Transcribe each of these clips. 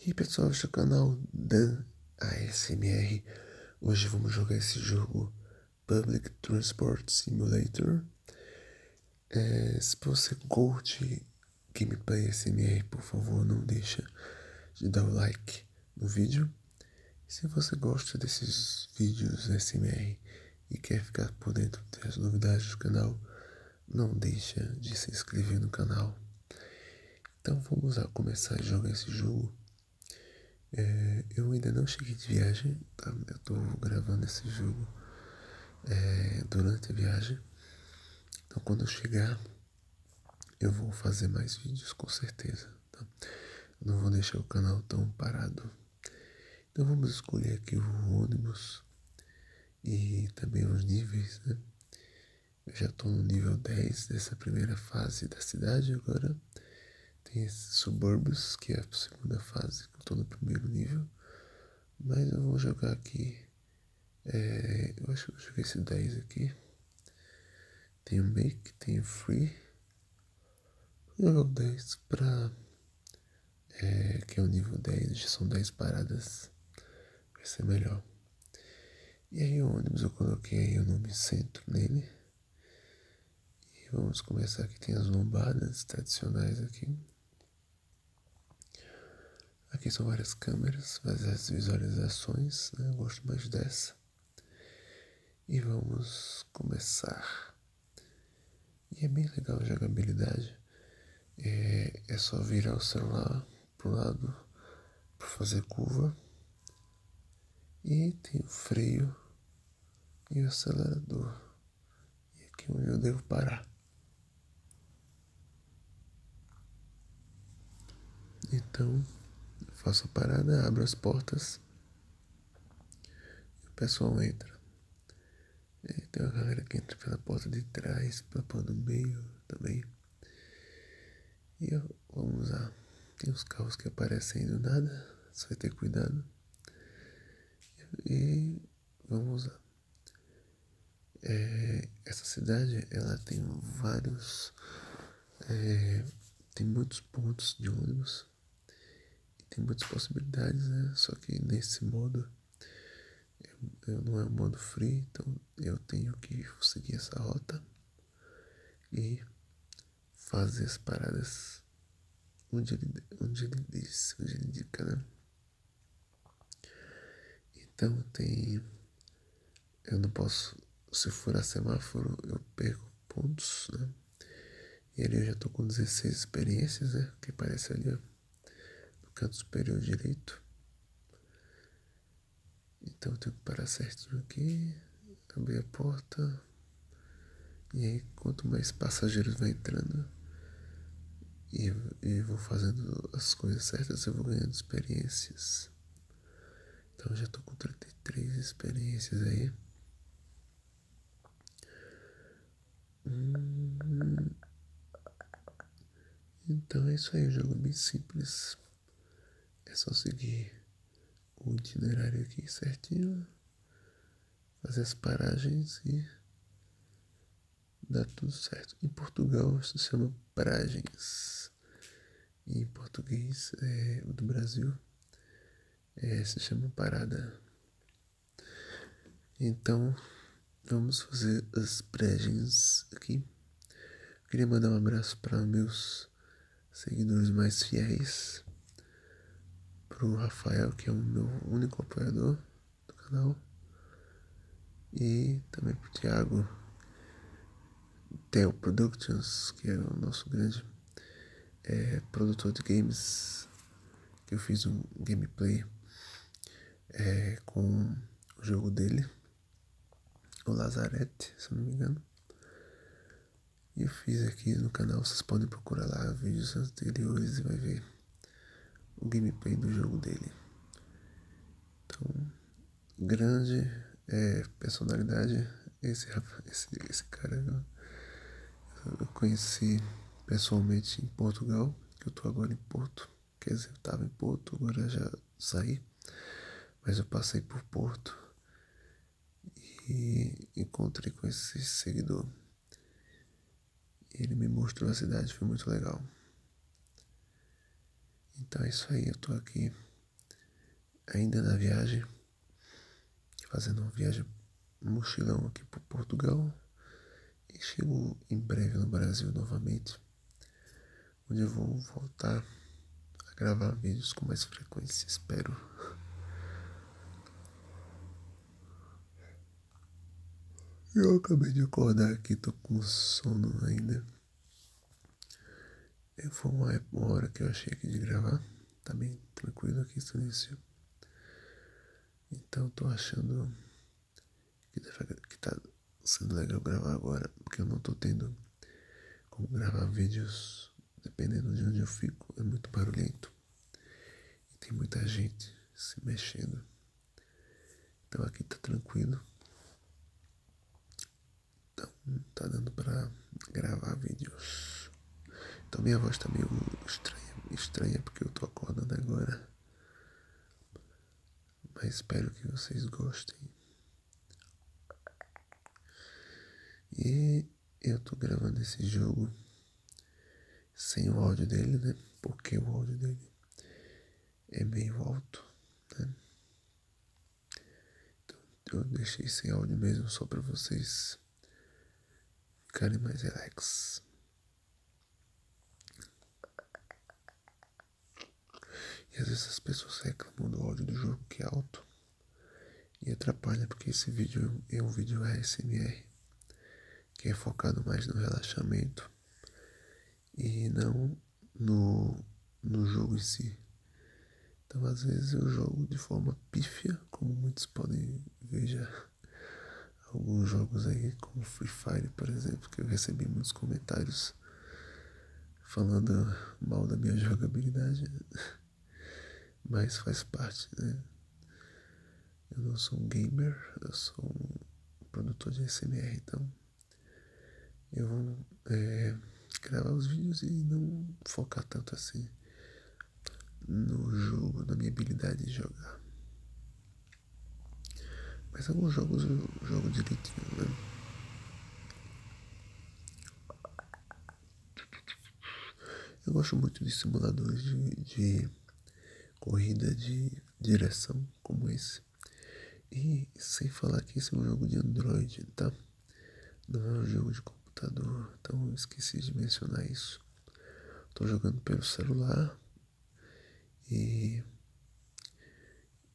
E aí pessoal, este é o canal Dan ASMR. Hoje vamos jogar esse jogo Public Transport Simulator. É, se você curte gameplay ASMR, por favor, não deixa de dar o like no vídeo. se você gosta desses vídeos ASMR e quer ficar por dentro das novidades do canal, não deixa de se inscrever no canal. Então vamos começar a jogar esse jogo. É, eu ainda não cheguei de viagem, tá? eu estou gravando esse jogo é, durante a viagem. Então quando eu chegar, eu vou fazer mais vídeos com certeza. Tá? Não vou deixar o canal tão parado. Então vamos escolher aqui o ônibus e também os níveis, né? Eu já estou no nível 10 dessa primeira fase da cidade, agora tem esses subúrbios, que é a segunda fase, que eu estou no primeiro nível, mas eu vou jogar aqui, é, eu acho que eu jogar esse 10 aqui, tem o make, tem o free, eu jogo 10 para é, que é o nível 10, já são 10 paradas, vai ser melhor. E aí o ônibus eu coloquei aí o nome centro nele. E vamos começar aqui, tem as lombadas tradicionais aqui. Aqui são várias câmeras, várias visualizações, né? eu gosto mais dessa. E vamos começar. E é bem legal a jogabilidade. É, é, só virar o celular para o lado para fazer curva e tem o freio e o acelerador e aqui eu devo parar então faço a parada abro as portas e o pessoal entra é, tem uma galera que entra pela porta de trás, pela porta do meio também. E vamos lá. Tem uns carros que aparecem do nada, só vai ter cuidado. E vamos lá. É, essa cidade ela tem vários. É, tem muitos pontos de ônibus. tem muitas possibilidades, né? Só que nesse modo eu não é um modo frio então eu tenho que seguir essa rota e fazer as paradas onde ele, onde ele diz, onde ele indica, né? Então tem. Eu não posso. Se furar semáforo, eu perco pontos, né? E ali eu já tô com 16 experiências, né? Que parece ali, ó no canto superior direito. Então tenho que parar certinho aqui, abrir a porta. E aí quanto mais passageiros vai entrando e vou fazendo as coisas certas, eu vou ganhando experiências. Então já estou com 33 experiências aí. Hum. então é isso aí, o jogo é bem simples. É só seguir o itinerário aqui certinho, fazer as paragens e dá tudo certo. Em Portugal isso se chama paragens. E em português é, o do Brasil é, se chama parada. Então, vamos fazer as pregens aqui. queria mandar um abraço para meus seguidores mais fiéis, para o Rafael, que é o meu único apoiador do canal, e também para o Thiago, Theo Productions, que é o nosso grande eh, produtor de games, que eu fiz um gameplay é, com o jogo dele, o Lazarete, se não me engano. E eu fiz aqui no canal, vocês podem procurar lá vídeos anteriores e vai ver o gameplay do jogo dele. Então, grande é, personalidade esse, esse, esse cara. Eu conheci pessoalmente em Portugal, que eu estou agora em Porto. Quer dizer, eu estava em Porto, agora já saí, mas eu passei por Porto e encontrei com esse seguidor. Ele me mostrou a cidade, foi muito legal. Então é isso aí, eu estou aqui ainda na viagem, fazendo uma viagem mochilão aqui para Portugal e chego em breve no Brasil novamente, onde eu vou voltar a gravar vídeos com mais frequência, espero. Eu acabei de acordar aqui, tô com sono ainda. É, foi uma hora que eu achei aqui de gravar, tá bem tranquilo aqui, isso. Então estou achando que, está sendo legal gravar agora, porque eu não estou tendo como gravar vídeos dependendo de onde eu fico, é muito barulhento. E tem muita gente se mexendo. Então aqui está tranquilo. Então está dando para gravar vídeos. Então minha voz tá meio estranha, porque eu tô acordando agora. Mas espero que vocês gostem. E eu tô gravando esse jogo sem o áudio dele, né? Porque o áudio dele é meio alto, né? Então eu deixei sem áudio mesmo só para vocês ficarem mais relax. E às vezes as pessoas reclamam do áudio do jogo que é alto e atrapalha porque esse vídeo é um vídeo ASMR que é focado mais no relaxamento e não no, no jogo em si. Então às vezes eu jogo de forma pífia, como muitos podem ver já alguns jogos aí, como Free Fire, por exemplo, que eu recebi muitos comentários falando mal da minha jogabilidade, mas faz parte, né? Eu não sou um gamer, eu sou um produtor de SMR, então eu vou é, gravar os vídeos e não focar tanto assim no jogo, na minha habilidade de jogar. Mas alguns jogos eu jogo direitinho, né? Eu gosto muito de simuladores de, corrida de direção como esse. E sem falar que esse é um jogo de Android, tá? Não é um jogo de computador, então esqueci de mencionar isso. Estou jogando pelo celular e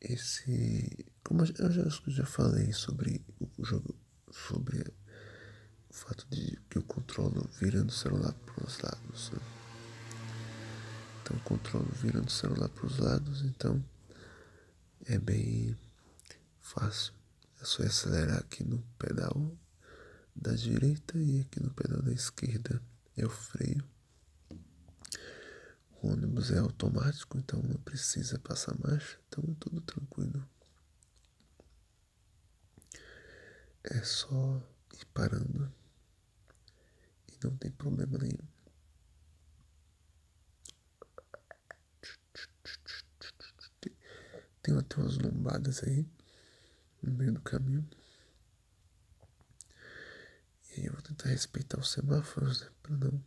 esse. Como eu já, eu já falei sobre o jogo, sobre o fato de que o controlo virando o celular para os lados. Né? Então, o controlo virando o celular para os lados, então é bem fácil é só acelerar aqui no pedal da direita e aqui no pedal da esquerda é o freio. O ônibus é automático, então não precisa passar marcha, então tudo tranquilo. É só ir parando e não tem problema nenhum tem até umas lombadas aí no meio do caminho. E aí eu vou tentar respeitar os semáforos, né, para não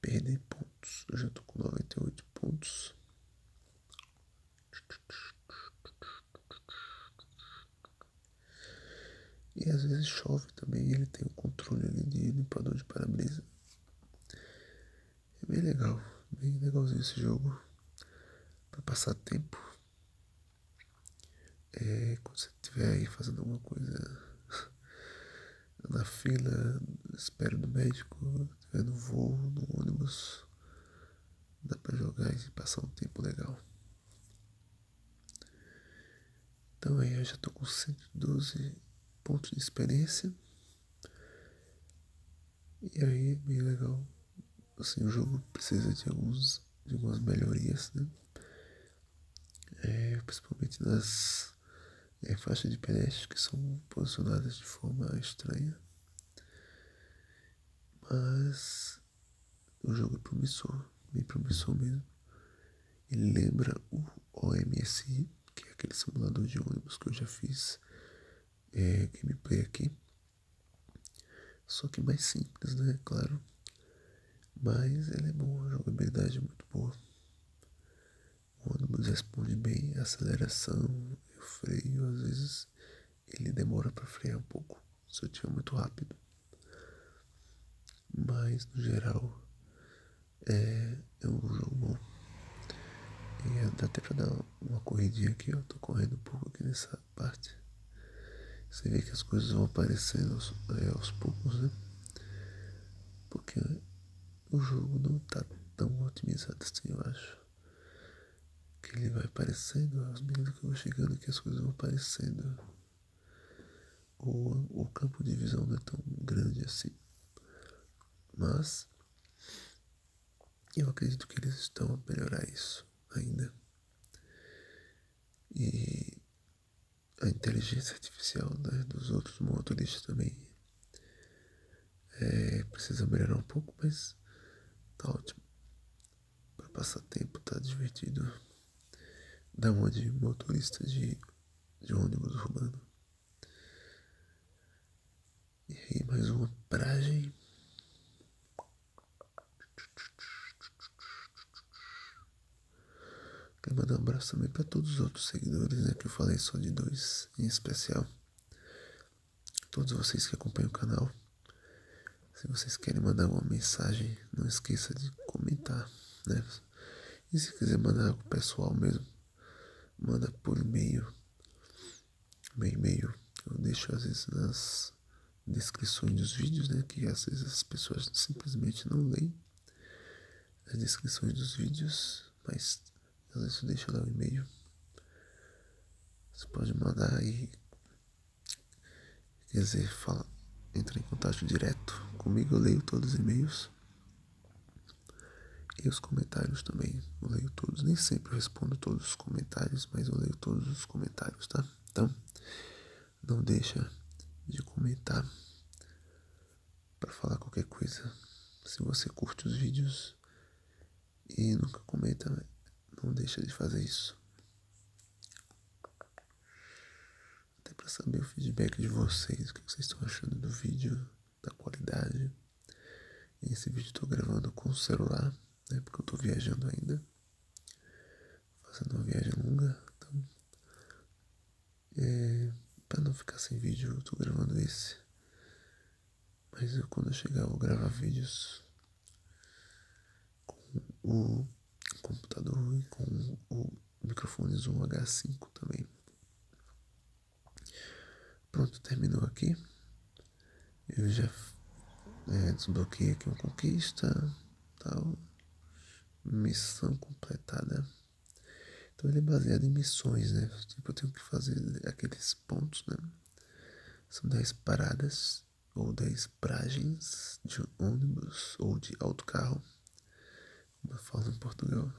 perder pontos. Eu já tô com 98 pontos. E às vezes chove também, ele tem o controle ali de limpador de para-brisa. É bem legal, bem legalzinho esse jogo. Pra passar tempo. É, quando você estiver aí fazendo alguma coisa na fila, espera no médico, estiver no voo, no ônibus, dá pra jogar e passar um tempo legal. Então aí eu já tô com 112 pontos de experiência. E aí bem legal. Assim, o jogo precisa de, alguns, de algumas melhorias, né? É, principalmente nas é, faixas de pedestres que são posicionadas de forma estranha. Mas o jogo é promissor, bem promissor mesmo. Ele lembra o OMSI, que é aquele simulador de ônibus que eu já fiz é, gameplay aqui. Só que mais simples, né? Claro. Mas ela é bom, a jogabilidade é muito boa. O ônibus responde bem aceleração e o freio. Às vezes ele demora para frear um pouco, se eu tiver muito rápido. Mas no geral, é, é um jogo bom. E dá até pra dar uma corridinha aqui, ó. Tô correndo um pouco aqui nessa parte. Você vê que as coisas vão aparecendo aos, é, aos poucos, né? Porque o jogo não tá tão otimizado assim, eu acho. Que ele vai aparecendo, as medidas que vão chegando que as coisas vão aparecendo. O, o campo de visão não é tão grande assim. Mas eu acredito que eles estão a melhorar isso ainda. E a inteligência artificial né, dos outros motoristas também é, precisa melhorar um pouco, mas tá ótimo. Para passar tempo, tá divertido. uma de motorista de, de ônibus urbano. E aí mais uma paragem. Quero mandar um abraço também para todos os outros seguidores, né? Que eu falei só de dois em especial. Todos vocês que acompanham o canal. Se vocês querem mandar uma mensagem, não esqueça de comentar, né? E se quiser mandar algo pessoal mesmo, manda por e-mail. meio, e-mail eu deixo às vezes nas descrições dos vídeos, né? Que às vezes as pessoas simplesmente não leem as descrições dos vídeos, mas às vezes eu deixo lá o e-mail. Você pode mandar aí, quer dizer, fala, entra em contato direto comigo, eu leio todos os e-mails. E os comentários também, eu leio todos, nem sempre respondo todos os comentários, mas eu leio todos os comentários, tá? Então, não deixa de comentar para falar qualquer coisa. Se você curte os vídeos e nunca comenta, não deixa de fazer isso. Até para saber o feedback de vocês, o que vocês estão achando do vídeo da qualidade. Esse vídeo estou gravando com o celular, né? Porque eu estou viajando ainda, fazendo uma viagem longa, então, é, para não ficar sem vídeo, eu estou gravando esse. Mas quando chegar, eu vou gravar vídeos com o computador e com o microfone Zoom H5 também. Pronto, terminou aqui. Eu já é, desbloqueei aqui uma conquista, tal. Missão completada. Então ele é baseado em missões, né? Tipo, eu tenho que fazer aqueles pontos, né? São 10 paradas ou 10 paragens de ônibus ou de autocarro. Uma fala em Portugal.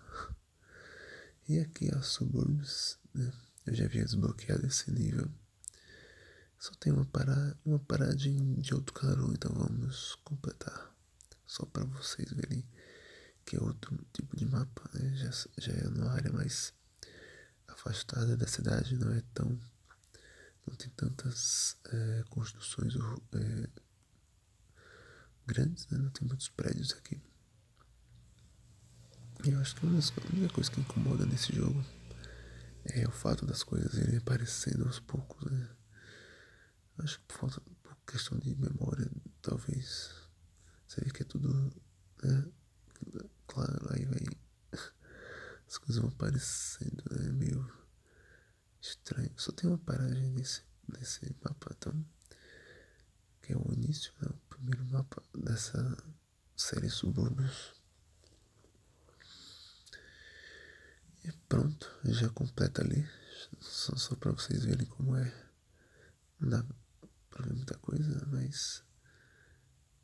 E aqui aos subúrbios, né? Eu já havia desbloqueado esse nível. Só tem uma, para... uma paradinha de outro carro, então vamos completar. Só para vocês verem que é outro tipo de mapa, né? já, já é uma área mais afastada da cidade, não é tão. não tem tantas eh, construções eh, grandes, né? Não tem muitos prédios aqui. E eu acho que uma das, a única coisa que incomoda nesse jogo é o fato das coisas irem aparecendo aos poucos, né? Eu acho que por falta questão de memória, talvez. Você vê que é tudo. Né? Claro, aí vai. As coisas vão aparecendo, né? Meio estranho. Só tem uma paragem nesse, nesse mapa, então que é o início, né, o primeiro mapa dessa série Subúrbios. E pronto, já completa ali. Só, só para vocês verem como é. Não dá para ver muita coisa, mas.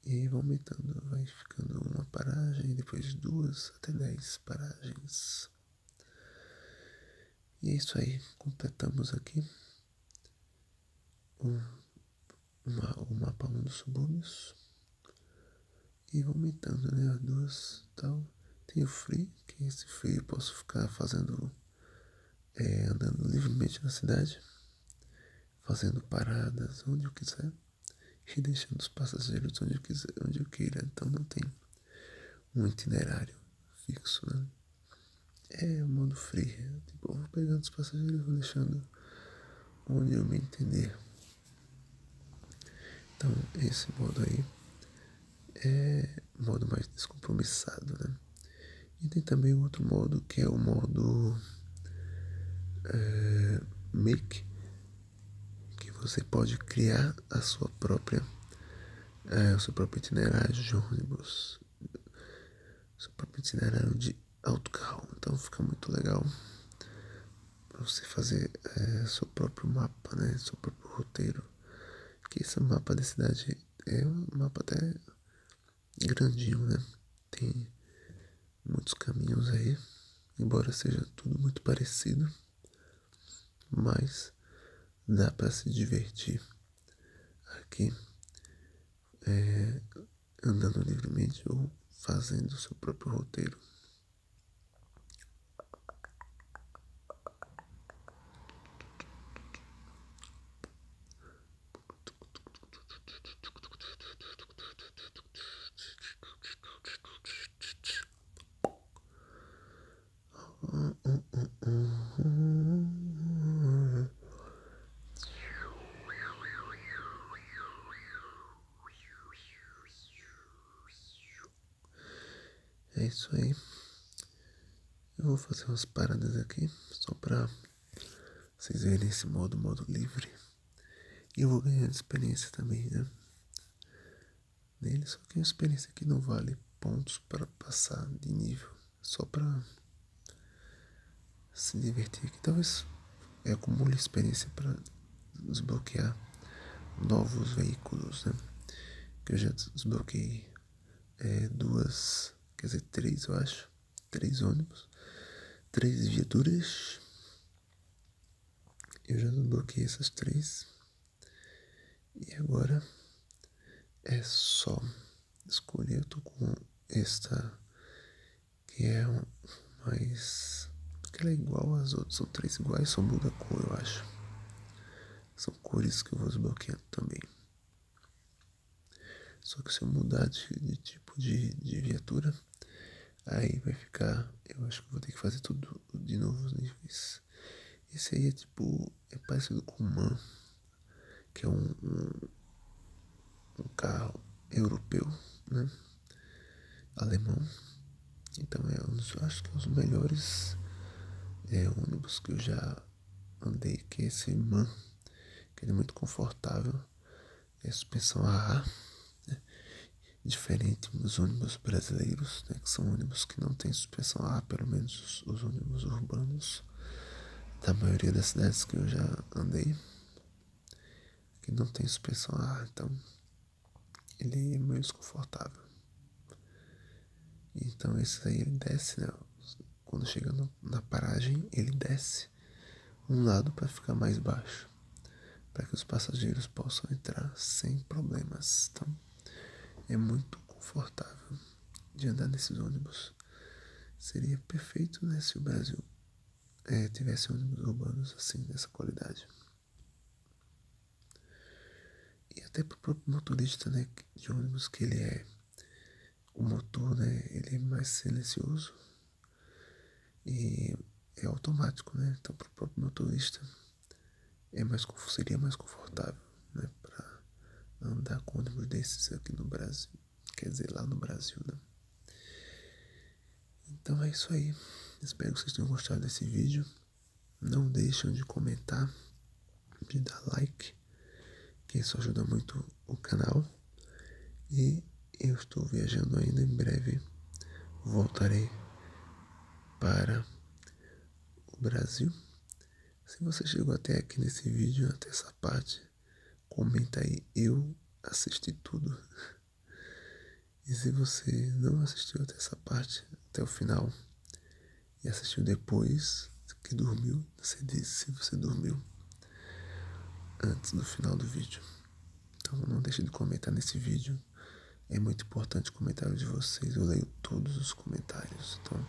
E aí vai aumentando, vai ficando uma paragem, depois duas até dez paragens. E é isso aí, completamos aqui o, o mapa 1 dos subúrbios e aumentando né, as duas tal. Tem o free, que esse free eu posso ficar fazendo, é, andando livremente na cidade, fazendo paradas onde eu quiser e deixando os passageiros onde eu, quiser, onde eu queira. Então não tem um itinerário fixo, né? É o modo free. Tipo, eu vou pegando os passageiros e vou deixando onde eu me entender. Então, esse modo aí é modo mais descompromissado, né? E tem também outro modo que é o modo eh, make, que você pode criar a sua própria é, o seu próprio itinerário de ônibus. O seu próprio itinerário de autocarro. Então fica muito legal para você fazer é, seu próprio mapa, né? Seu próprio roteiro. Que esse mapa da cidade é um mapa até grandinho, né? Tem muitos caminhos aí, embora seja tudo muito parecido mas dá para se divertir aqui é, andando livremente ou fazendo o seu próprio roteiro. É isso aí. Eu vou fazer umas paradas aqui só para vocês verem esse modo, modo livre. E eu vou ganhar experiência também, né? nele só que é uma experiência que não vale pontos para passar de nível, só para se divertir aqui. Talvez eu acumule experiência para desbloquear novos veículos, né? Que eu já desbloqueei é, duas, quer dizer, três, eu acho, três ônibus, três viaturas. Eu já desbloqueei essas três e agora é só escolher. Eu tô com esta que é mais. que é igual às outras, são três iguais, só muda a cor, eu acho. São cores que eu vou desbloqueando também. Só que se eu mudar de, tipo de, de viatura, aí vai ficar. Eu acho que vou ter que fazer tudo de novo os né? níveis esse aí é tipo. É parecido com o Man, que é um, um, carro europeu, né? Alemão. Então é um dos, acho que é um dos melhores é, ônibus que eu já andei, que é esse Man, que é muito confortável. É suspensão a Diferente dos ônibus brasileiros, né, que são ônibus que não têm suspensão a ah, pelo menos os, ônibus urbanos da maioria das cidades que eu já andei, que não tem suspensão a ah, ar, então ele é meio desconfortável. Então esse aí ele desce, né? Quando chega na paragem, ele desce um lado para ficar mais baixo para que os passageiros possam entrar sem problemas. Então, é muito confortável de andar nesses ônibus. Seria perfeito né, se o Brasil é, tivesse ônibus urbanos assim, dessa qualidade. E até para o próprio motorista né, de ônibus, que ele é o motor, né, ele é mais silencioso e é automático, né? Então, para o próprio motorista é mais, seria mais confortável né, para andar com ônibus desses aqui no Brasil, quer dizer, lá no Brasil, né? Então é isso aí. Espero que vocês tenham gostado desse vídeo. Não deixem de comentar, de dar like, que isso ajuda muito o canal. E eu estou viajando ainda em breve. Voltarei para o Brasil. Se você chegou até aqui nesse vídeo, até essa parte, comenta aí, eu assisti tudo. E se você não assistiu até essa parte, até o final, e assistiu depois que dormiu, você disse se você dormiu antes do final do vídeo. Então não deixe de comentar nesse vídeo, é muito importante o comentário de vocês. Eu leio todos os comentários. Então,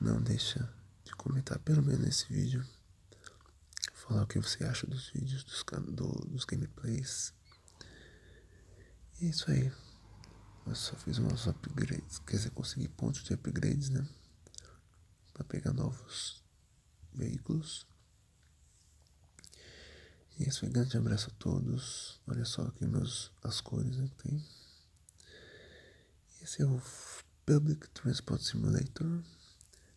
não deixa de comentar, pelo menos nesse vídeo. Falar o que você acha dos vídeos, dos, gameplays. E é isso aí. Eu só fiz umas upgrades. Quer dizer, consegui pontos de upgrades, né? Pra pegar novos veículos. E esse foi um grande abraço a todos. Olha só aqui meus, as cores né, que tem. Esse é o Public Transport Simulator,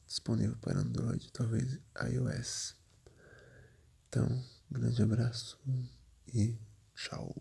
disponível para Android, talvez iOS. Então, grande abraço e tchau.